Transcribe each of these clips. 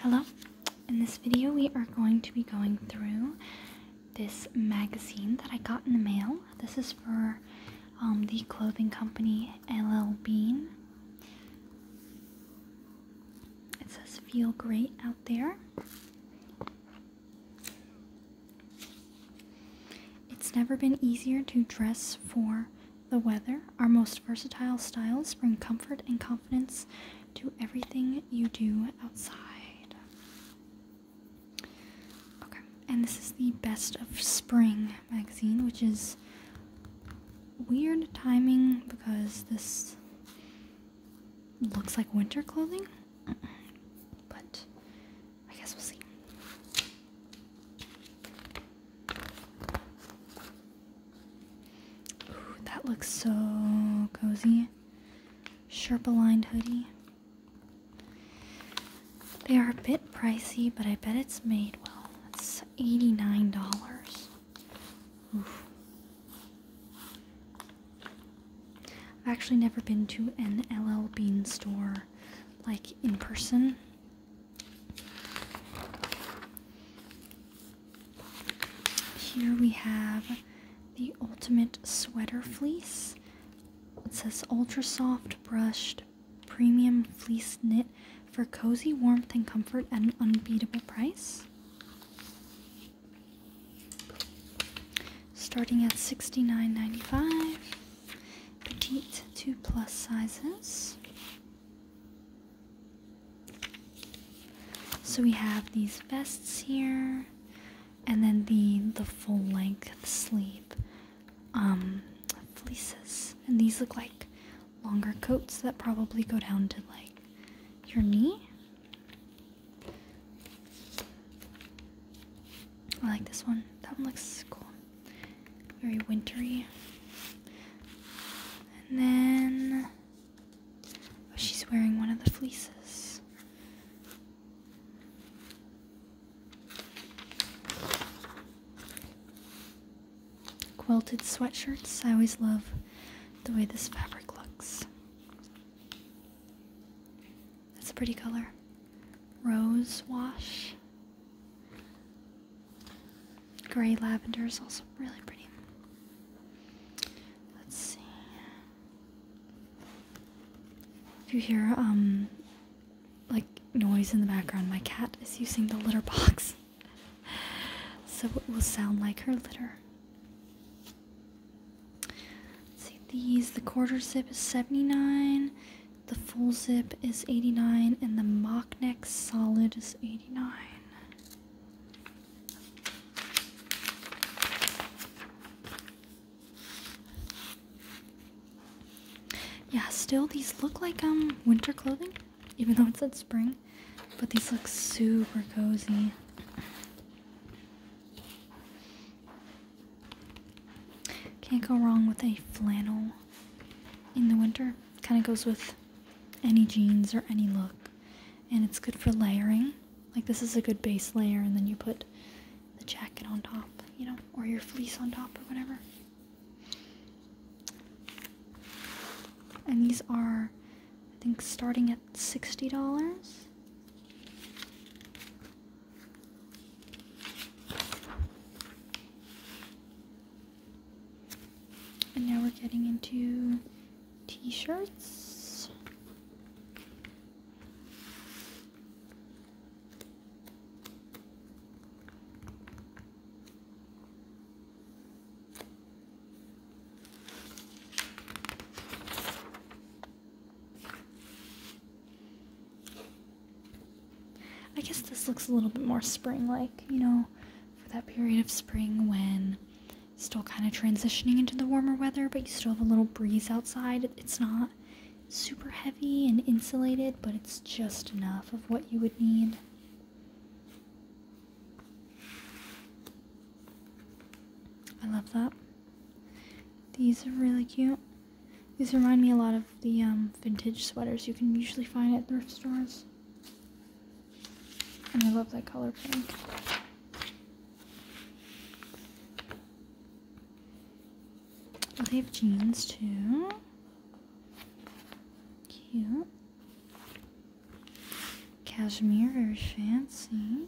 Hello, in this video we are going to be going through this magazine that I got in the mail. This is for um, the clothing company LL Bean. It says feel great out there. It's never been easier to dress for the weather, our most versatile styles bring comfort and confidence to everything you do outside. Okay, and this is the Best of Spring magazine, which is weird timing because this looks like winter clothing, but I guess we'll see. that looks so cozy. Sherpa lined hoodie. They are a bit pricey, but I bet it's made well. It's $89. I've actually never been to an LL Bean store like in person. Here we have the Ultimate Sweater Fleece. It says ultra soft brushed premium fleece knit for cozy warmth and comfort at an unbeatable price. Starting at $69.95 petite two plus sizes. So we have these vests here, and then the the full length sleeve um, fleeces, and these look like longer coats that probably go down to like your knee. I like this one. That one looks cool very wintry. And then oh, she's wearing one of the fleeces. Quilted sweatshirts. I always love the way this fabric looks. That's a pretty color rose wash. Gray lavender is also really pretty. Let's see. If you hear um like noise in the background, my cat is using the litter box. so it will sound like her litter. see these. The quarter zip is 79. The full zip is 89 and the mock neck solid is 89. Yeah, still these look like um winter clothing, even though it said spring. But these look super cozy. Can't go wrong with a flannel in the winter. Kind of goes with any jeans or any look. And it's good for layering. Like this is a good base layer and then you put the jacket on top, you know, or your fleece on top or whatever. And these are, I think, starting at $60. And now we're getting into t shirts. I guess this looks a little bit more spring like, you know, for that period of spring when still kind of transitioning into the warmer weather, but you still have a little breeze outside. It's not super heavy and insulated, but it's just enough of what you would need. I love that. These are really cute. These remind me a lot of the um, vintage sweaters you can usually find at thrift stores. And I love that color pink. Oh, they have jeans too. Cute. Cashmere, very fancy.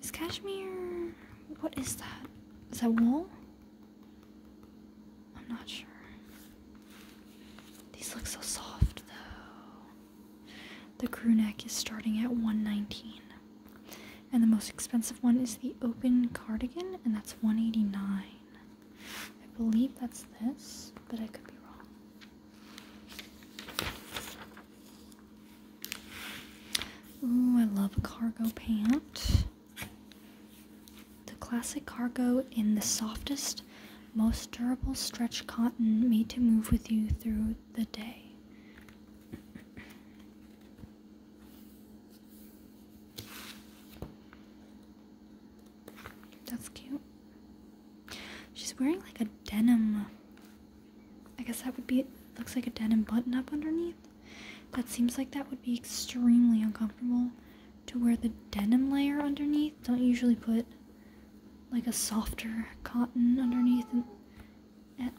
Is cashmere. What is that? Is that wool? I'm not sure. These look so soft though. The crew neck is starting at 119. And the most expensive one is the open cardigan, and that's 189. I believe that's this, but I could be wrong. Ooh, I love cargo pants. The classic cargo in the softest, most durable stretch cotton made to move with you through the day. That's cute. She's wearing like a denim. I guess that would be, it looks like a denim button up underneath. That seems like that would be extremely uncomfortable to wear the denim layer underneath. Don't usually put like a softer cotton underneath. And,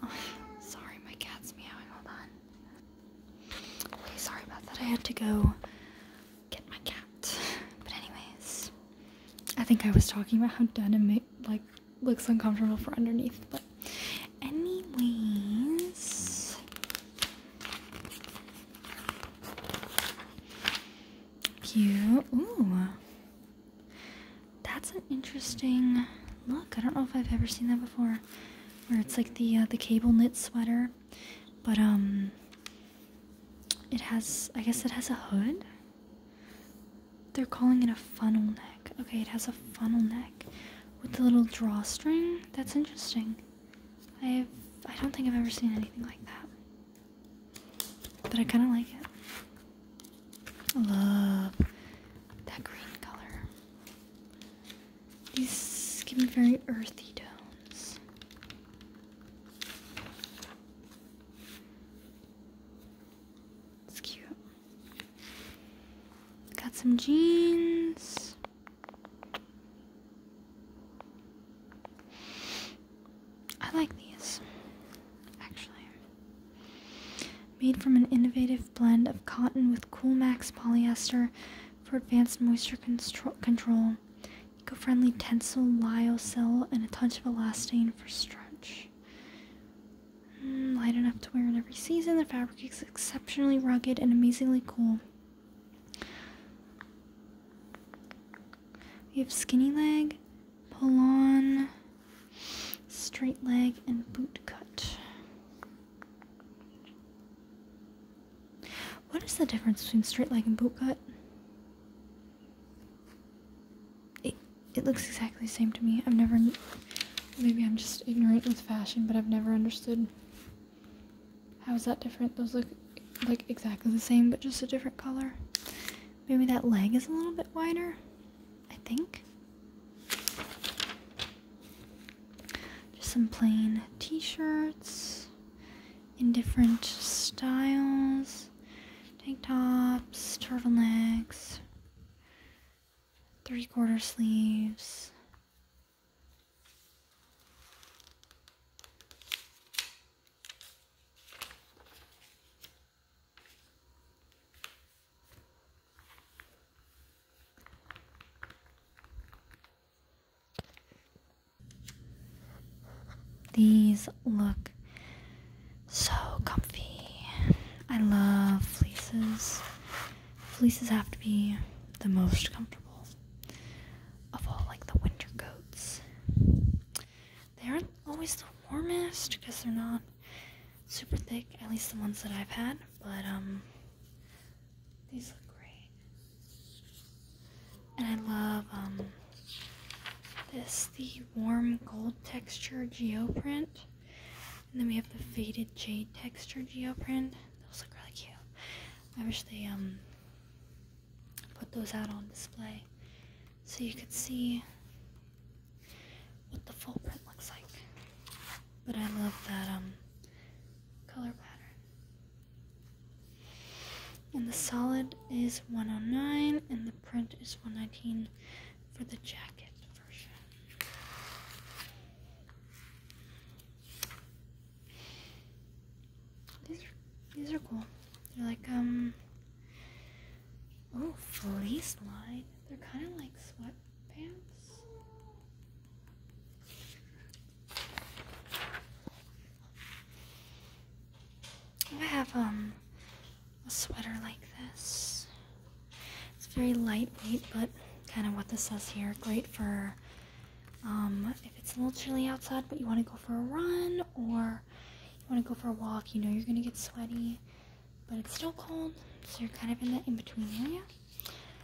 oh, sorry, my cat's meowing. Hold on. Okay, sorry about that. I had to go get my cat. But anyways, I think I was talking about how denim like looks uncomfortable for underneath, but Anyways, you. Ooh, that's an interesting look. I don't know if I've ever seen that before, where it's like the uh, the cable knit sweater, but um, it has. I guess it has a hood. They're calling it a funnel neck. Okay, it has a funnel neck with the little drawstring. That's interesting. I've I i do not think I've ever seen anything like that. But I kind of like it. I love that green color. These give me very earthy tones. It's cute. Got some jeans. I like these, actually. Made from an innovative blend of cotton with Coolmax polyester for advanced moisture control, eco friendly tensile lyocell, and a touch of elastane for stretch. Mm, light enough to wear in every season. The fabric is exceptionally rugged and amazingly cool. We have skinny leg, pull on, straight leg, and boot cut. What is the difference between straight leg and boot cut? It, it looks exactly the same to me. I've never Maybe I'm just ignorant with fashion, but I've never understood. How is that different? Those look like exactly the same, but just a different color. Maybe that leg is a little bit wider, I think. Just some plain t shirts in different styles tank tops, turtlenecks three quarter sleeves. These look so comfy. I love fleeces fleeces have to be the most comfortable of all, like the winter coats. They aren't always the warmest because they're not super thick, at least the ones that I've had, but um, these look great. And I love um, this, the warm gold texture geoprint. And then we have the faded jade texture geoprint. Those look really cute. I wish they um, put those out on display so you could see what the full print looks like. But I love that um, color pattern. And the solid is 109 and the print is 119 for the jacket. These are, these are cool. They're like um oh fleece line. They're kind of like sweatpants. I have um a sweater like this. It's very lightweight, but kind of what this says here. Great for um, if it's a little chilly outside, but you want to go for a run or you want to go for a walk. You know you're going to get sweaty, but it's still cold, so you're kind of in that in between area.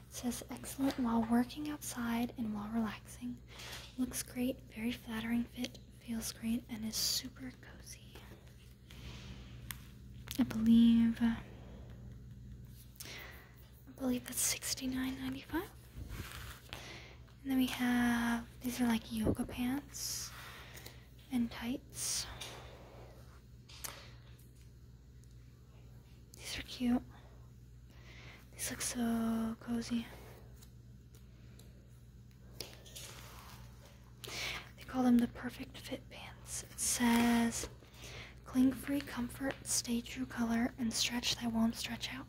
says excellent while working outside and while relaxing. Looks great, very flattering fit, feels great, and is super cozy. I believe. Uh, I believe that's sixty nine ninety five. And then we have these are like yoga pants and tights. These are cute. These look so cozy. They call them the perfect fit pants. It says, cling free comfort, stay true color, and stretch that won't stretch out.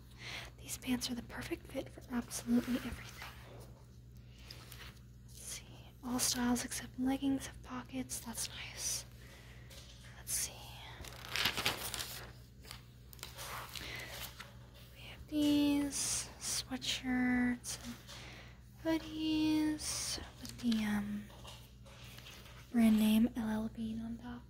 These pants are the perfect fit for absolutely everything. see, all styles except leggings have pockets. That's nice. Let's see. We have these sweatshirts but he's with the um, brand name LL Bean on top.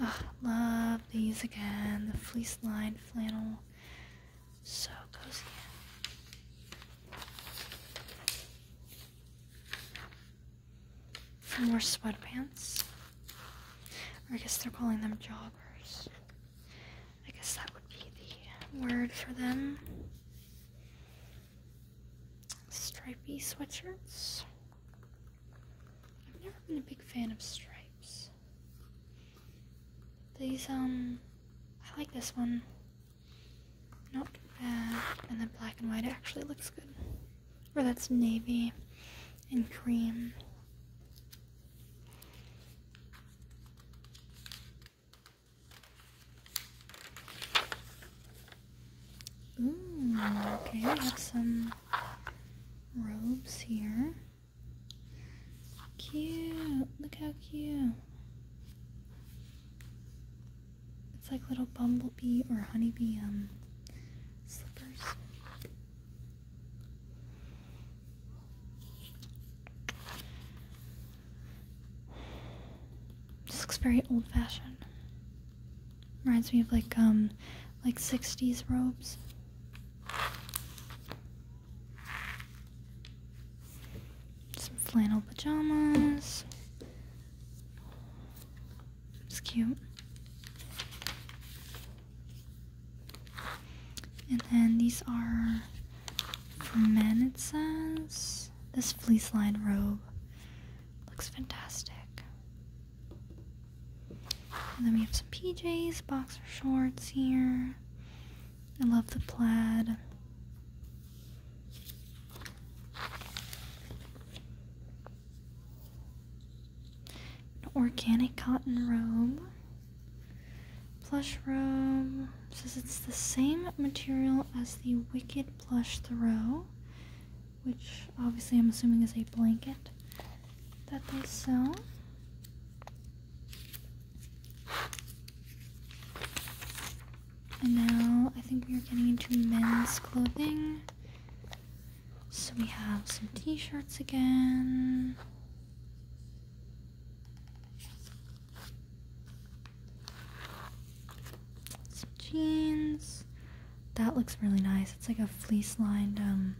Ah, love these again. The fleece lined flannel. So cozy. Some more sweatpants. I guess they're calling them joggers. I guess that would be the word for them. Stripy sweatshirts. I've never been a big fan of stripes. These, um, I like this one. Not bad. And then black and white actually looks good or that's navy and cream. okay, we have some robes here. Cute, look how cute. It's like little bumblebee or honeybee um, slippers. This looks very old fashioned. Reminds me of like um like 60s robes. Some flannel pajamas. It's cute. And then these are for men, it says. This fleece lined robe looks fantastic. And then we have some PJs, boxer shorts here. I love the plaid organic cotton robe. Plush robe says it's the same material as the Wicked Plush Throw, which obviously I'm assuming is a blanket that they sell. And now I think we are getting into men's clothing. So we have some t-shirts again. Some jeans. That looks really nice. It's like a fleece-lined um,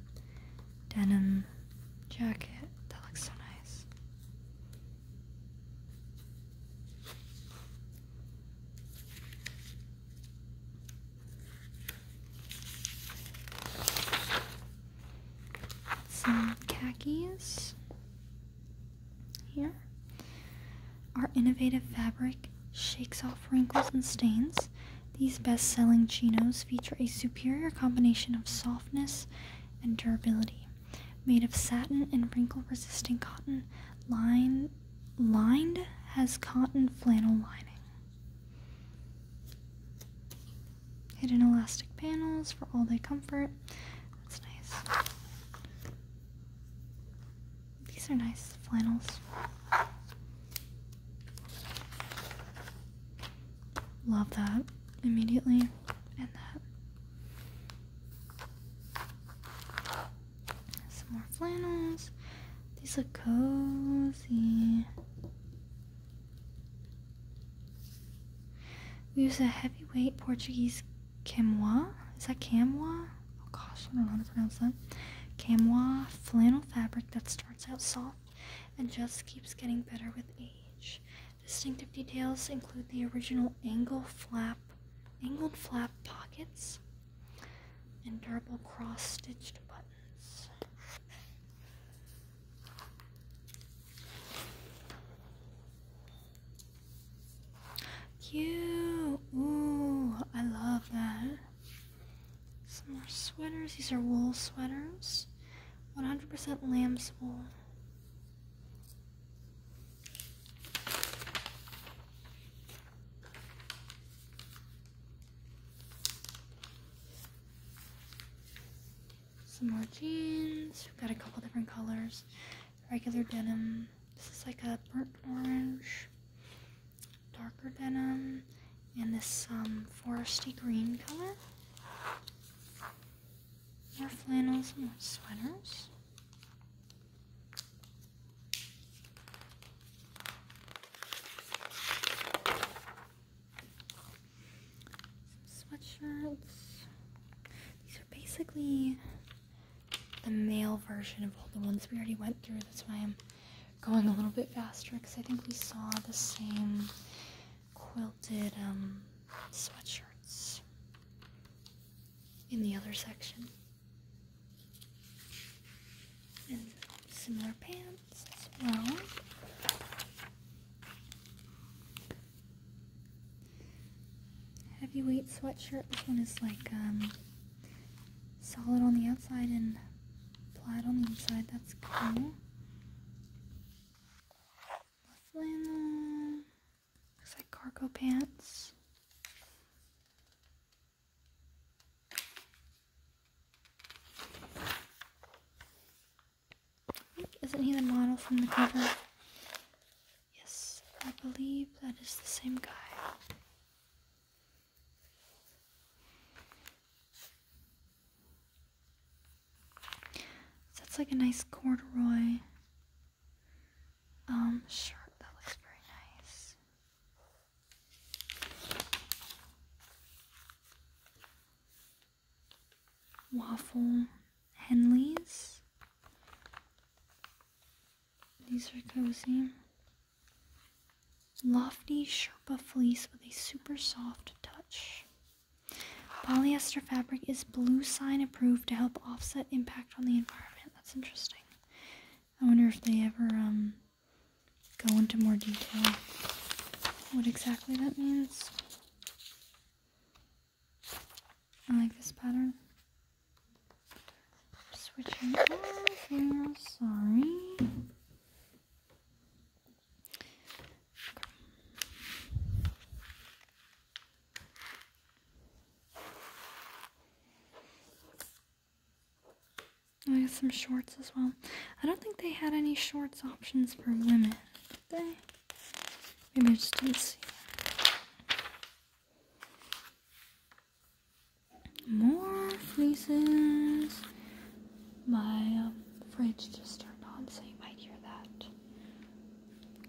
denim jacket. That looks so nice. Some khakis here. Our innovative fabric shakes off wrinkles and stains. These best selling chinos feature a superior combination of softness and durability. Made of satin and wrinkle resistant cotton, lined lined has cotton flannel lining. Hidden elastic panels for all day comfort. That's nice. These are nice flannels. Love that immediately. And that. Some more flannels. These look cozy. We use a heavyweight Portuguese camois. Is that camois? Oh gosh, I don't know how to pronounce that. Camois flannel fabric that starts out soft and just keeps getting better with age. Distinctive details include the original angle flap, angled flap pockets, and double cross-stitched buttons. Cute! Ooh, I love that. Some more sweaters. These are wool sweaters. 100% lamb's wool. Some more jeans. We've got a couple different colors. Regular denim. This is like a burnt orange, darker denim, and this um, foresty green color. More flannels, more sweaters sweatshirts. These are basically the male version of all the ones we already went through. That's why I'm going a little bit faster because I think we saw the same quilted um, sweatshirts in the other section similar pants as well. Heavyweight sweatshirt. This one is like um, solid on the outside and plaid on the inside. That's cool. Flannel. Looks like cargo pants. Isn't he the model from the cover? Yes, I believe that is the same guy. that's like a nice corduroy. Um, shirt that looks very nice. Waffle Henleys. These are cozy. Lofty Sherpa fleece with a super soft touch. Polyester fabric is blue sign approved to help offset impact on the environment. That's interesting. I wonder if they ever um, go into more detail what exactly that means. I like this pattern. Switching off sorry. I got some shorts as well. I don't think they had any shorts options for women, did they? Maybe I just didn't see. More fleeces. My um, fridge just turned on, so you might hear that.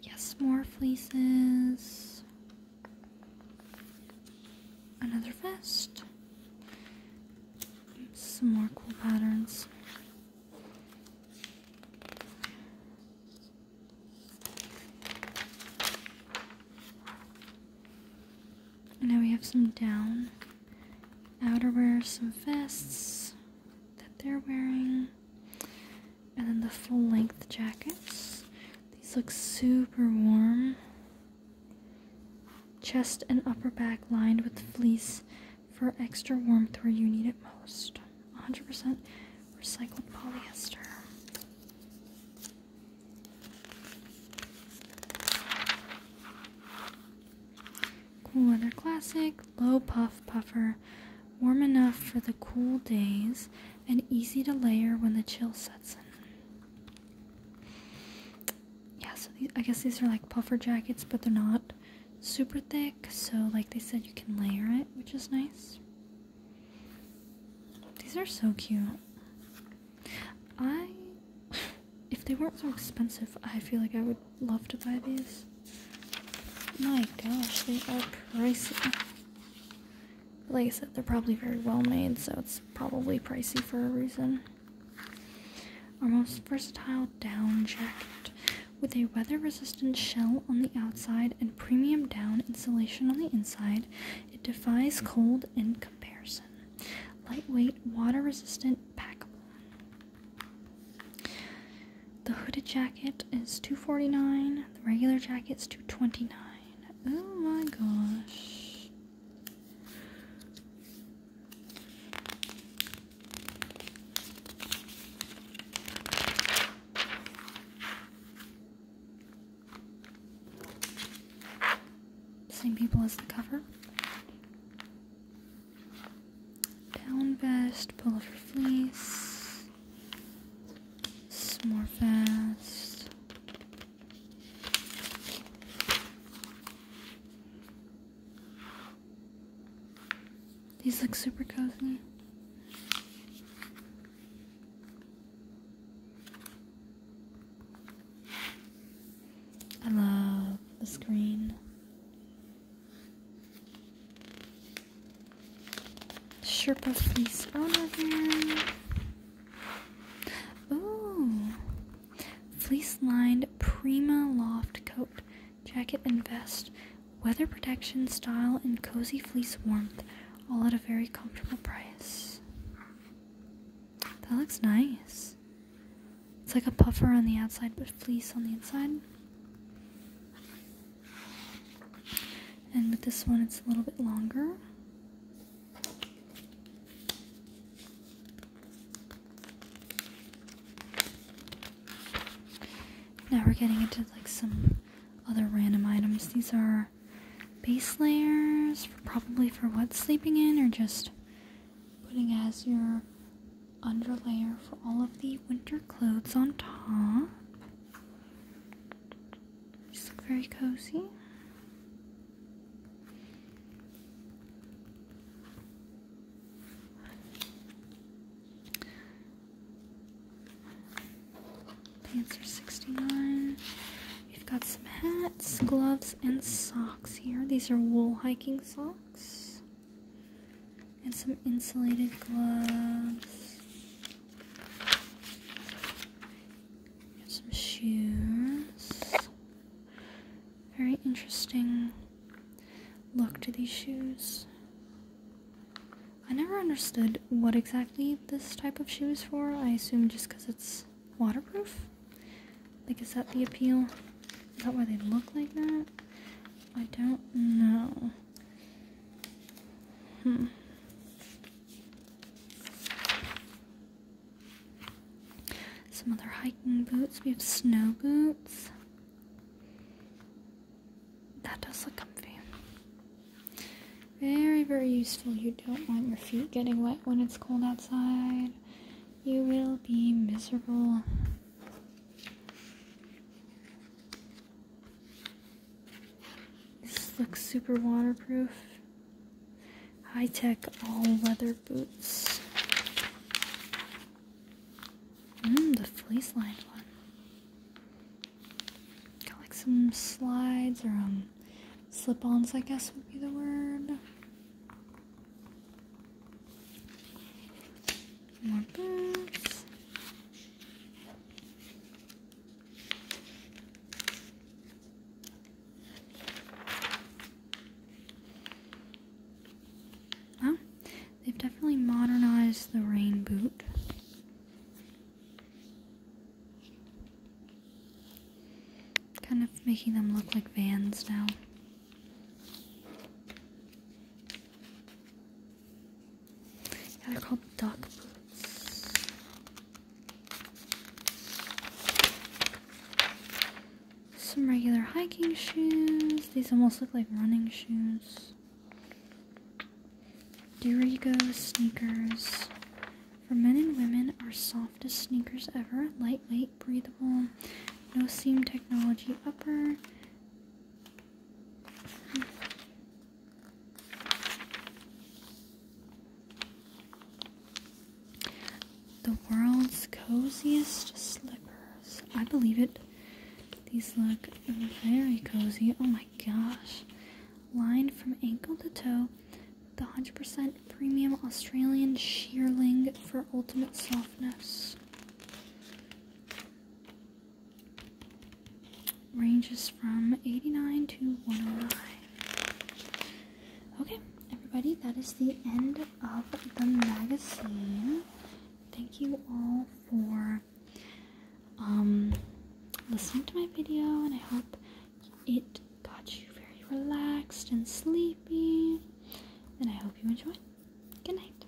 Yes, more fleeces. Another vest. Some more cool patterns. Now we have some down outerwear, some vests that they're wearing and then the full length jackets. These look super warm. Chest and upper back lined with fleece for extra warmth where you need it most. 100% recycled polyester. Cool Weather Classic Low Puff Puffer. Warm enough for the cool days and easy to layer when the chill sets in. Yeah, so these, I guess these are like puffer jackets, but they're not super thick, so like they said, you can layer it, which is nice. These are so cute. I, if they weren't so expensive, I feel like I would love to buy these. My gosh, they are pricey like I said, they're probably very well made, so it's probably pricey for a reason. Our most versatile down jacket with a weather resistant shell on the outside and premium down insulation on the inside, it defies cold in comparison. Lightweight, water resistant, packable. The hooded jacket is 249 The regular jacket is 229 Oh my gosh. Same people as the cover. Down vest, pullover fleece. Some more fast. These look super cozy. I love the screen. Sherpa fleece on over here. Ooh, fleece lined Prima loft coat, jacket, and vest. Weather protection, style, and cozy fleece warmth, all at a very comfortable price. That looks nice. It's like a puffer on the outside, but fleece on the inside. And with this one, it's a little bit longer. Now we're getting into like some other random items. These are base layers, probably for what sleeping in or just putting as your underlayer for all of the winter clothes on top. Just look very cozy. Pants are 69. We've got some hats, gloves, and socks here. These are wool hiking socks and some insulated gloves. Got some shoes. Very interesting look to these shoes. I never understood what exactly this type of shoe is for. I assume just because it's waterproof. Like, is that the appeal? Is that why they look like that? I don't know. Hmm. Some other hiking boots. We have snow boots. That does look comfy. Very, very useful. You don't want your feet getting wet when it's cold outside. You will be miserable. This looks super waterproof. High tech all leather boots. Mmm, the fleece lined one. Got like some slides or um, slip ons, I guess would be the word. Well, they've definitely modernized the rain boot. Kind of making them look like vans now they're called duck boots. Some regular hiking shoes. These almost look like running shoes. Durigo sneakers. For men and women, our softest sneakers ever. Lightweight, breathable, no seam technology upper. The world's coziest slippers. I believe it. These look very cozy. Oh my gosh. Lined from ankle to toe the 100% premium Australian shearling for ultimate softness ranges from 89 to 109. Okay, everybody, that is the end of the magazine. Thank you all for um, listening to my video, and I hope it got you very relaxed and sleepy. And I hope you enjoyed. Good night.